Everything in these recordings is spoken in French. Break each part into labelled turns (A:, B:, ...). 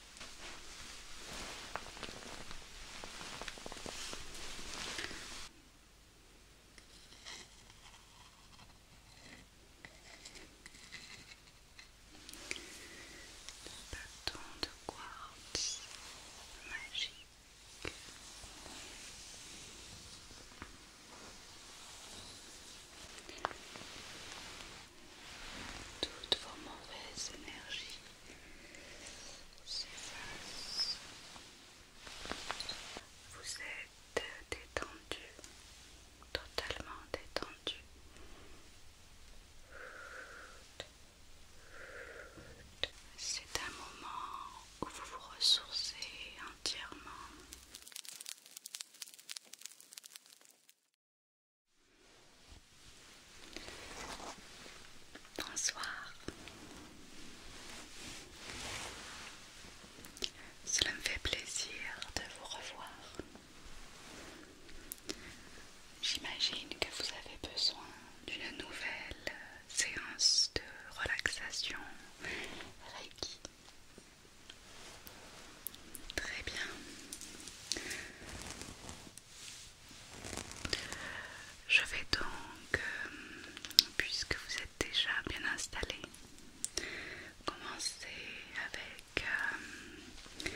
A: Le bâton de quartz magique. Toutes vos mauvaises énergies vous êtes détendu, totalement détendu. C'est un moment où vous vous ressourcez entièrement. Bonsoir. Cela me fait plaisir de vous revoir. J'imagine que vous avez besoin d'une nouvelle euh, séance de relaxation Reiki. Très bien. Je vais donc, euh, puisque vous êtes déjà bien installé, commencer avec euh,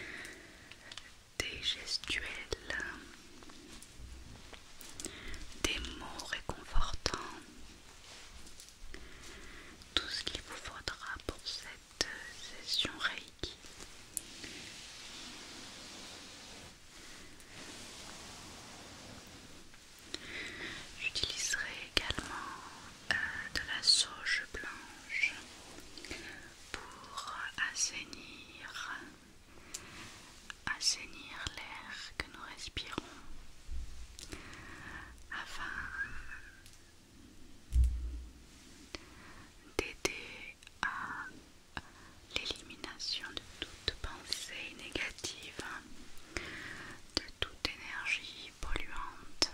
A: des gestuels, des mots réconfortants, tout ce qu'il vous faudra pour cette euh, session Reiki. J'utiliserai également euh, de la sauge blanche pour assainir, assainir l'air que nous respirons afin d'aider à euh, l'élimination de toute pensée négative, de toute énergie polluante.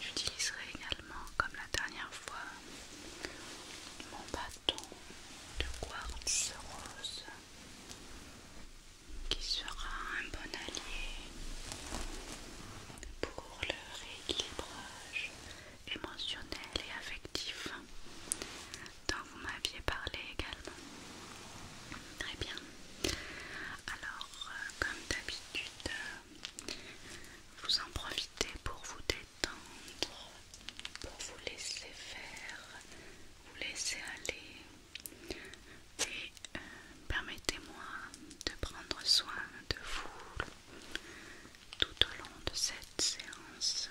A: J'utiliserai également, comme la dernière fois, mon bâton de quartz rose qui sera un bon allié pour le rééquilibrage émotionnel et affectif dont vous m'aviez parlé également. Très bien. Alors, euh, comme d'habitude, euh, vous en profitez pour vous détendre, pour vous laisser faire, vous laisser aller et euh, permettez-moi de prendre soin de vous tout au long de cette séance.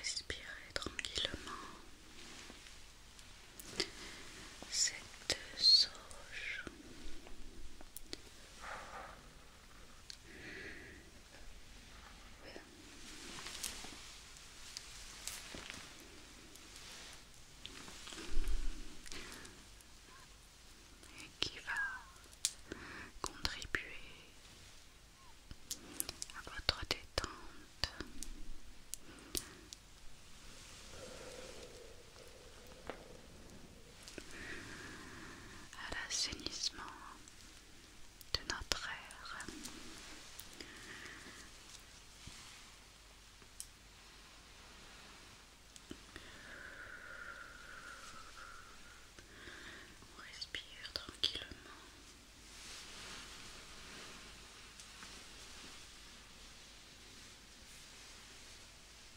A: Respirez tranquillement cette sauge et qui va contribuer à votre détente à l'assainissement de notre air. On respire tranquillement.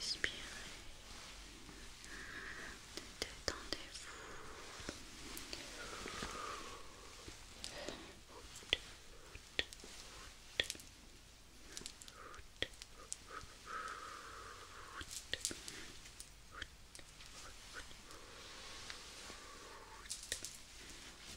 A: Respirez. Détendez-vous.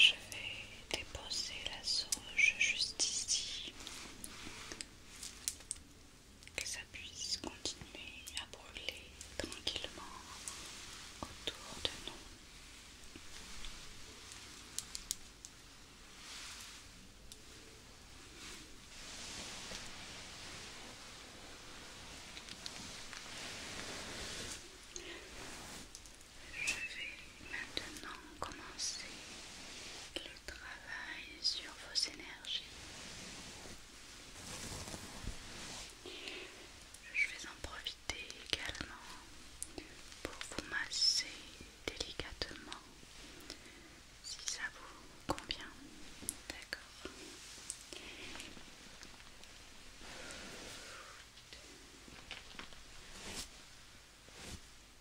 A: Je vais déposer la sauge juste ici que ça puisse continuer à brûler tranquillement autour de nous. Je vais maintenant commencer sur vos énergies. Je vais en profiter également pour vous masser délicatement si ça vous convient. D'accord.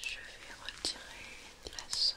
A: Je vais retirer la sauge.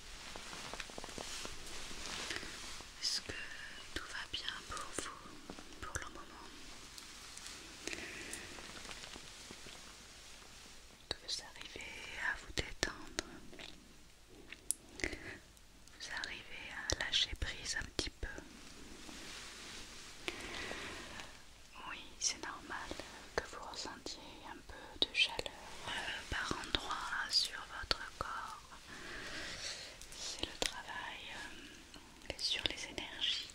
A: Est-ce que tout va bien pour vous pour le moment Que vous arrivez à vous détendre Vous arrivez à lâcher prise un petit peu oui, c'est normal que vous ressentiez un peu de chaleur euh, par endroits sur votre corps. C'est le travail euh, sur les énergies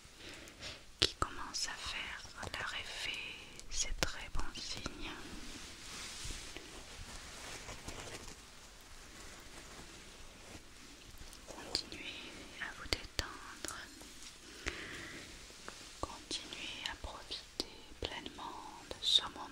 A: qui commence à faire leur effet. C'est très bon signe. Continuez à vous détendre. Continuez à profiter pleinement de ce moment.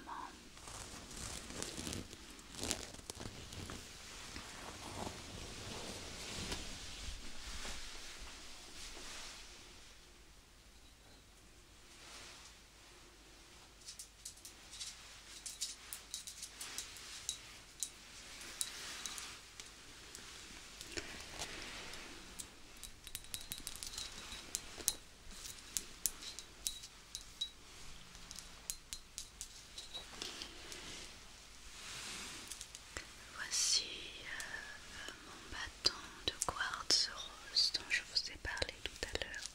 A: Voici euh, mon bâton de quartz rose dont je vous ai parlé tout à l'heure.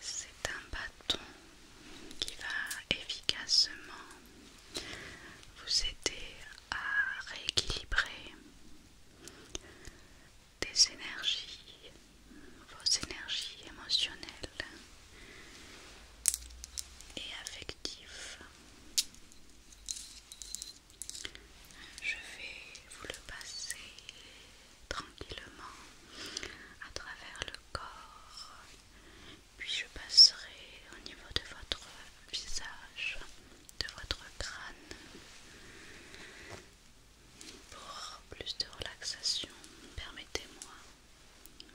A: C'est un bâton qui va efficacement vous aider à rééquilibrer des énergies, vos énergies émotionnelles et affectives. Je vais vous le passer tranquillement à travers le corps puis je passerai au niveau de votre visage, de votre crâne, pour plus de relaxation. Permettez-moi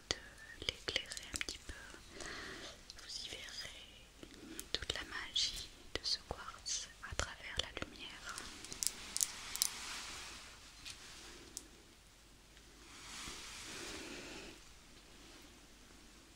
A: de l'éclairer un petit peu. Vous y verrez toute la magie de ce quartz à travers la lumière.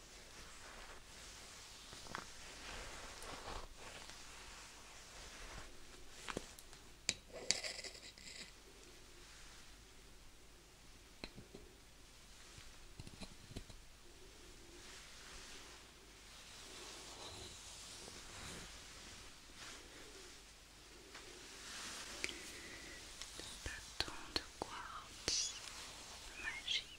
A: Le bâton de quartz magique.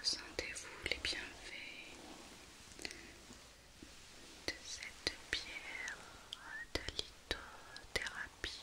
A: Ressentez-vous les bienfaits de cette pierre de lithothérapie.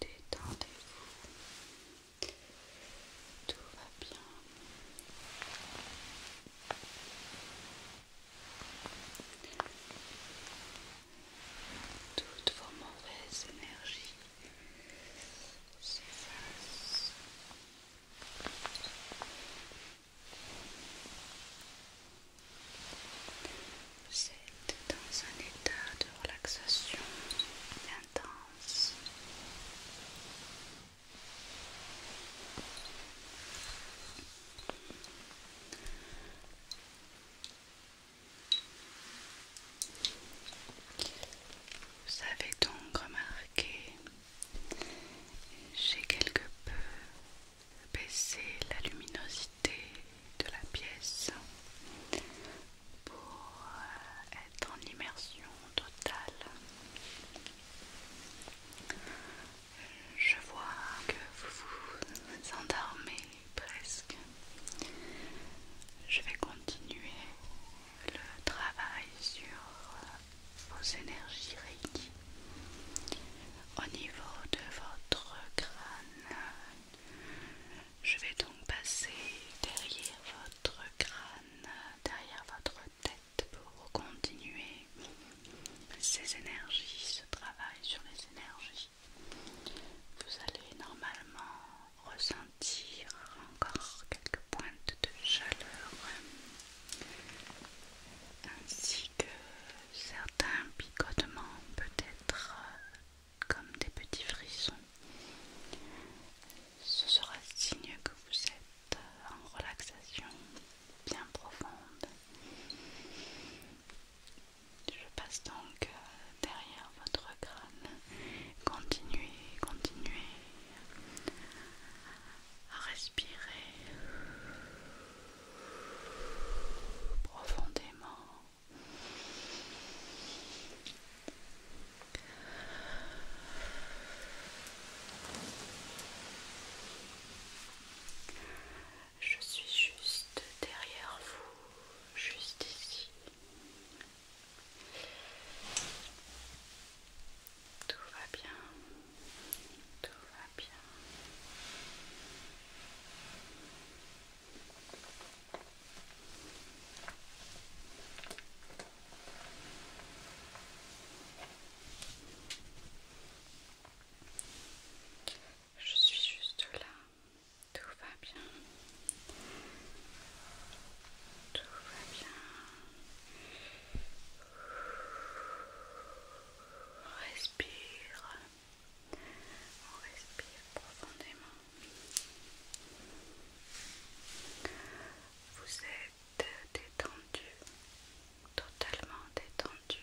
A: Détendez-vous, tout va bien toutes vos mauvaises énergies s'effacent. Vous êtes dans un état de relaxation intense. Vous avez donc remarqué, j'ai quelque peu baissé la luminosité de la pièce pour euh, être en immersion totale. Euh, je vois que vous vous endormez presque. Je vais continuer le travail sur euh, vos énergies Reiki au niveau de votre crâne. Je vais donc passer derrière votre crâne, derrière votre tête pour continuer ces énergies, ce travail sur les énergies. Vous allez normalement ressentir encore quelques pointes de chaleur ainsi que certains picotements peut-être comme des petits frissons. Ce sera signe que vous êtes en relaxation bien profonde je passe donc euh, derrière votre crâne. Continuez, continuez à respirer profondément. Je suis juste derrière vous, juste ici. Tout va bien, tout va bien. Je suis juste là. Tout va bien. Tout va bien. On respire. On respire profondément. Vous êtes détendu, totalement détendu.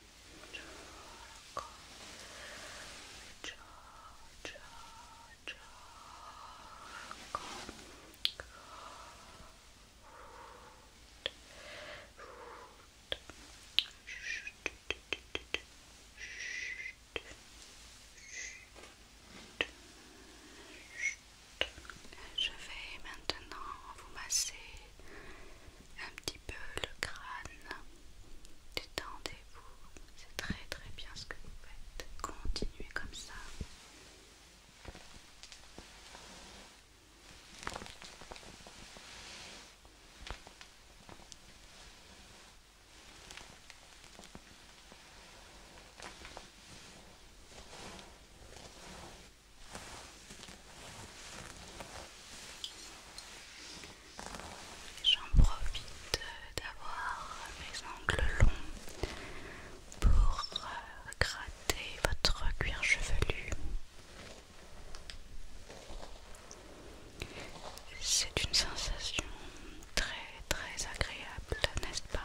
A: Je vais maintenant vous masser un petit peu le crâne. Détendez-vous, c'est très très bien ce que vous faites. Continuez comme ça. J'en profite d'avoir mes angles longs pour euh, gratter votre cuir chevelu. C'est une sensation très très agréable, n'est-ce pas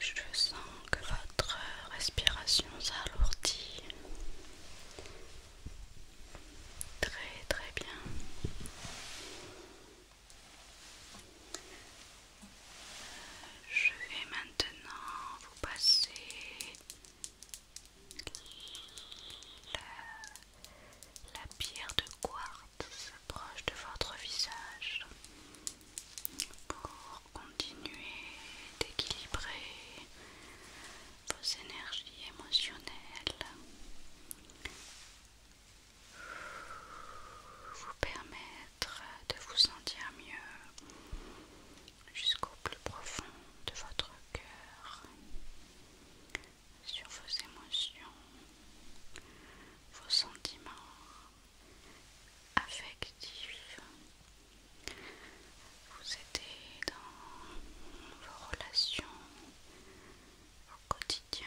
A: Je sens que votre respiration s'alourdit. Très très bien. Je vais maintenant vous passer la, pierre de quartz proche de votre visage pour continuer d'équilibrer vos énergies émotionnelles, vous permettre de vous sentir mieux jusqu'au plus profond de votre cœur, sur vos émotions, vos sentiments affectif, vous étiez dans vos relations au quotidien.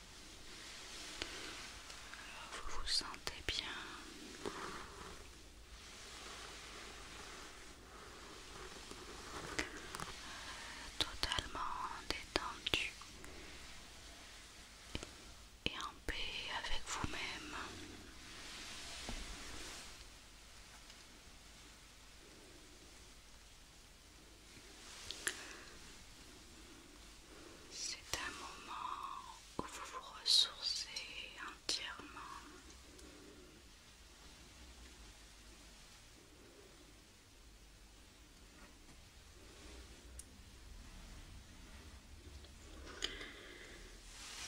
A: vous vous sentez bien. Euh, totalement détendu et en paix avec vous-même. C'est un moment où vous vous ressourcez entièrement.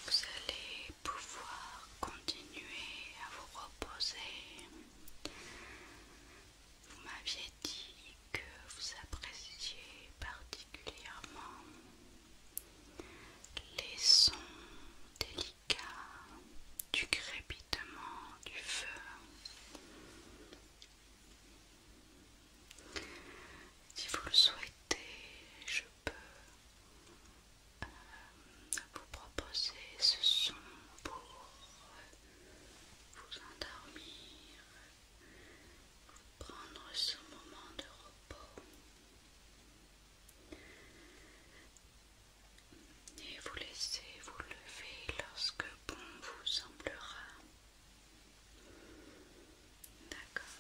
A: Vous allez pouvoir continuer à vous reposer vous m'aviez dit que vous appréciez particulièrement les sons délicats du crépitement du feu. Si vous le souhaitez, je peux euh, vous proposer ce son pour vous endormir prendre ce moment de repos et vous laissez vous lever lorsque bon vous semblera. D'accord.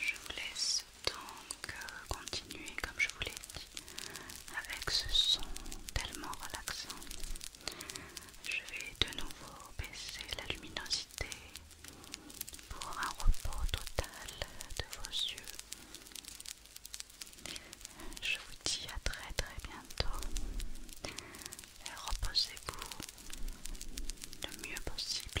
A: Je vous laisse donc euh, continuer comme je vous l'ai dit avec ce son tellement relaxant. Je vais de nouveau baisser la luminosité pour un repos total de vos yeux je vous dis à très très bientôt. Reposez-vous le mieux possible.